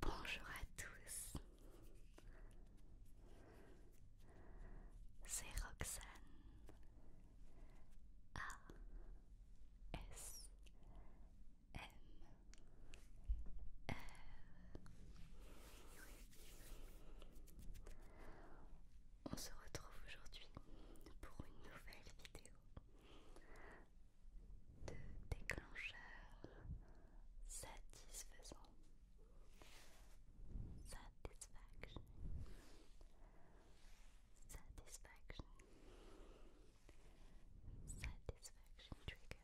Bonjour à tous, c'est Roxane A S M on se retrouve aujourd'hui pour une nouvelle vidéo de déclencheur satisfaisant. Satisfaction. Satisfaction. Satisfaction trigger.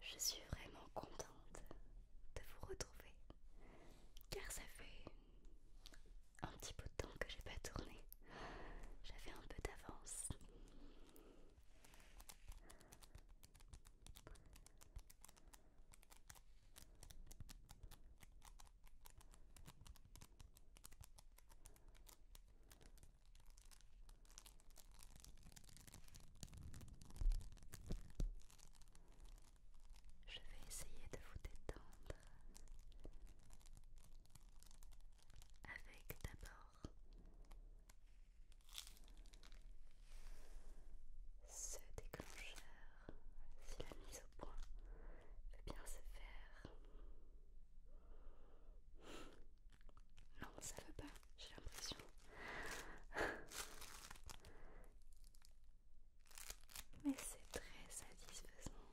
Je suis vraiment contente de vous retrouver car ça fait un petit peu de temps que j'ai pas tourné. J'avais un peu d'avance. Je vais essayer de vous détendre avec d'abord ce déclencheur si la mise au point veut bien se faire non, ça va pas, j'ai l'impression. Mais c'est très satisfaisant.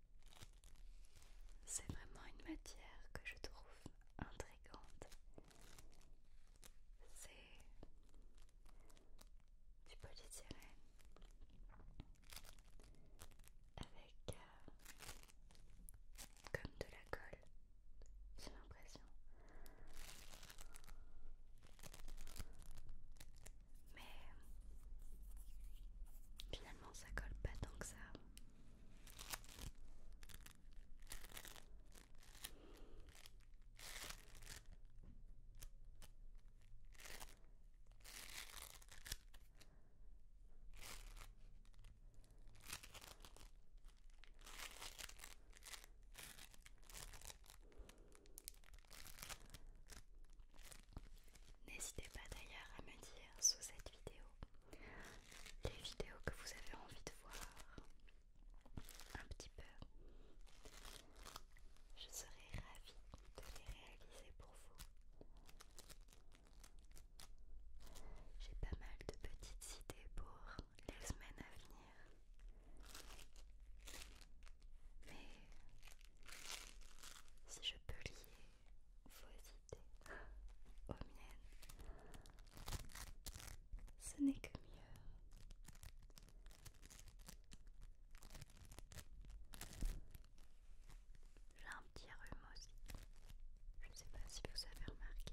C'est vraiment une matière que je trouve intrigante. C'est du polythyrène avec euh, comme de la colle, j'ai l'impression. Mais finalement ça colle pas tant que ça. N'hésitez pas d'ailleurs à me dire sous cette vidéo les vidéos que vous avez envie de voir un petit peu. Je serai ravie de les réaliser pour vous. J'ai pas mal de petites idées pour les semaines à venir. Mais si je peux lier vos idées aux oh, miennes. Ce n'est que mieux. J'ai un petit rhume aussi. Je ne sais pas si vous avez remarqué.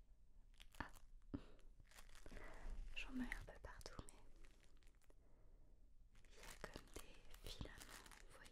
Ah J'en mets un peu partout, mais il y a comme des filaments, vous voyez.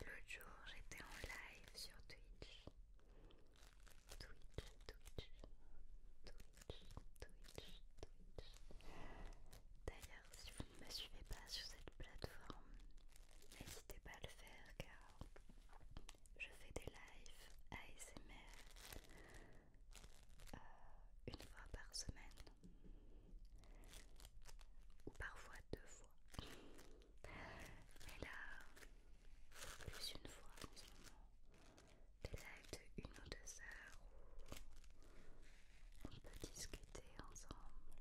L'autre jour, j'étais en live sur Twitch. Twitch, Twitch, Twitch, Twitch, Twitch. D'ailleurs, si vous ne me suivez pas sur cette plateforme, n'hésitez pas à le faire car je fais des lives ASMR euh, une fois par semaine ou parfois deux fois. Mais là, plus une fois en ce moment, des lives de une ou deux heures où on peut discuter ensemble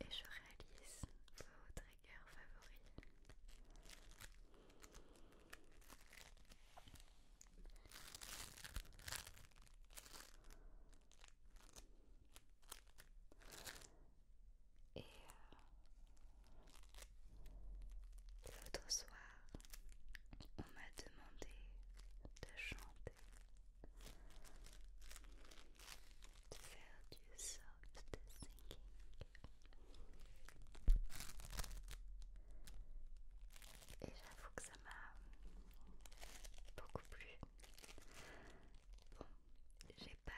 et je réalise votre triggers favori. Et euh, l'autre soir, on m'a demandé de chanter de faire du de thinking. Et j'avoue que ça m'a beaucoup plu. Bon, j'ai pas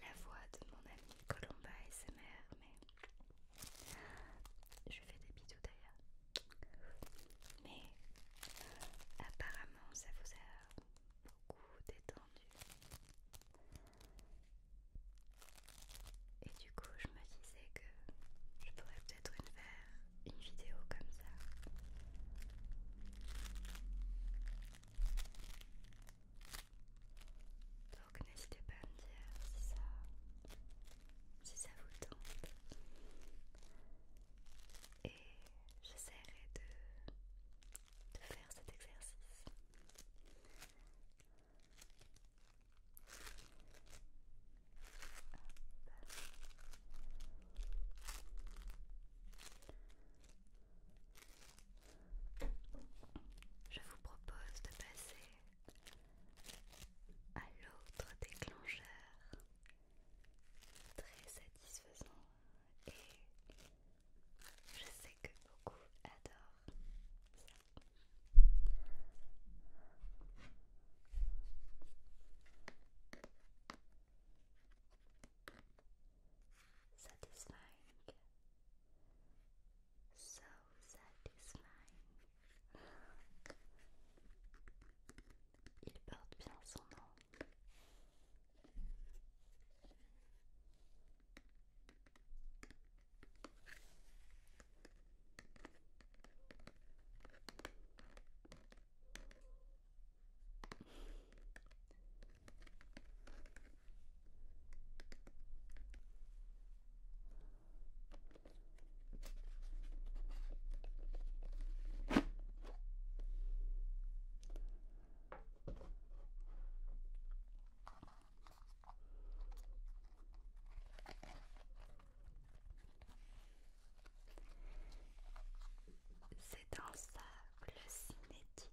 la voix de mon ami Colomba et mais je fais des bisous d'ailleurs. Mais apparemment, ça vous a beaucoup détendu. Et du coup, je me disais que je pourrais peut-être faire une vidéo comme ça. Donc n'hésitez pas à me dire ça, si ça vous tente et j'essaierai de, faire cet exercice. Je vous propose de passer à l'autre déclencheur très satisfaisant et je sais que beaucoup adorent ça. Satisfying, so satisfying. Il porte bien son nom. C'est un sable cinétique.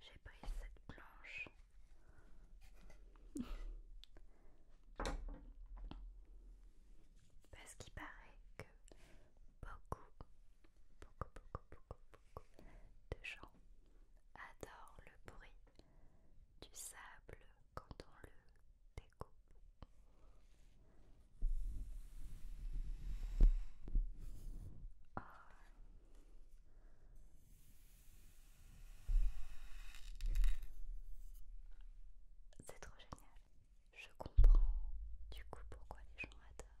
J'ai pris cette planche. Parce qu'il paraît que beaucoup, beaucoup, beaucoup, beaucoup, beaucoup de gens adorent le bruit du sable quand on le découpe. Ah. C'est trop génial. Je comprends du coup pourquoi les gens adorent.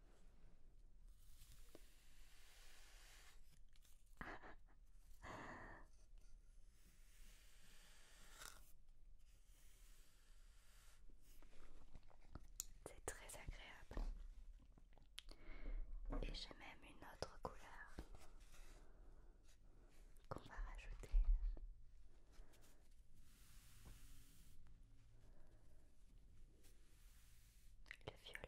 C'est très agréable. Et j'ai même une autre couleur qu'on va rajouter le violet.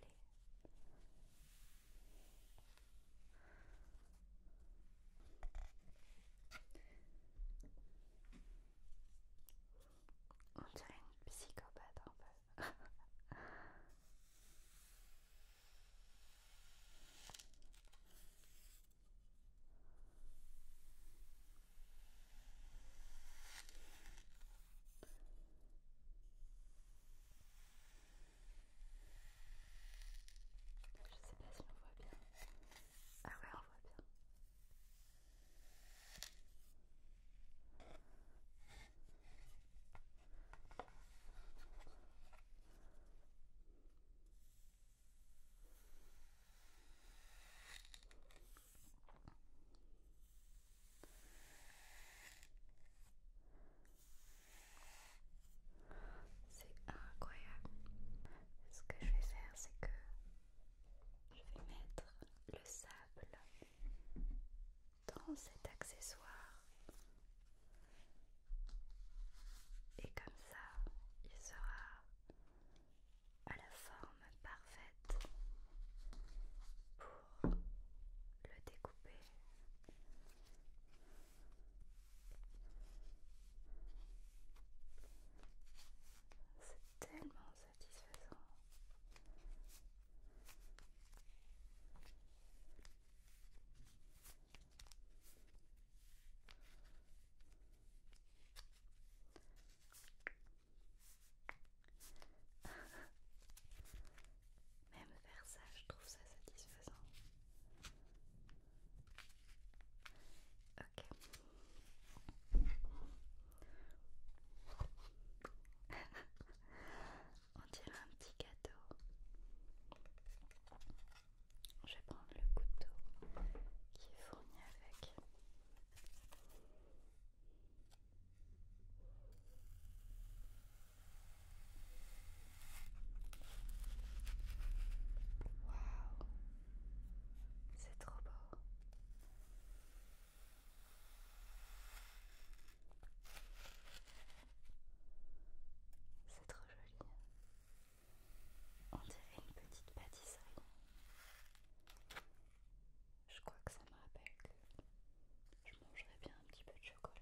On dirait une psychopathe un peu. Je sais pas si on voit bien. Ah ouais, on voit bien. C'est incroyable. Ce que je vais faire, c'est que je vais mettre le sable dans cet accessoire. Et comme ça, il sera à la forme parfaite pour le découper. C'est tellement satisfaisant. Même faire ça, je trouve ça satisfaisant. On tire un petit gâteau. Je vais prendre le couteau qui est fourni avec. Waouh, c'est trop beau. C'est trop joli. On dirait une petite pâtisserie. Je crois que ça me rappelle que je mangerais bien un petit peu de chocolat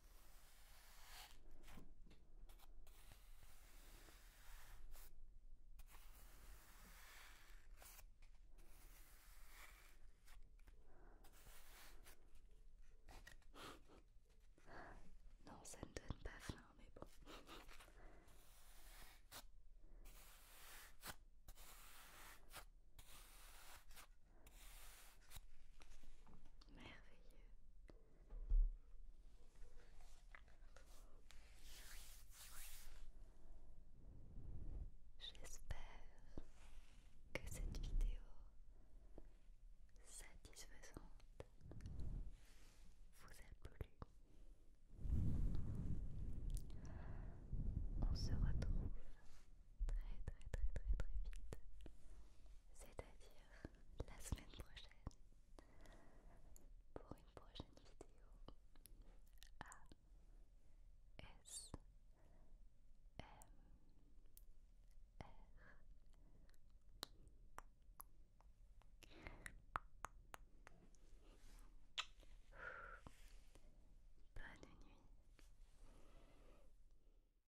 Non, ça ne donne pas faim, mais bon. Merveilleux. J'espère que cette vidéo satisfaisante vous a plu. On se retrouve très très très très très vite, c'est-à-dire la semaine prochaine pour une prochaine vidéo à S nuit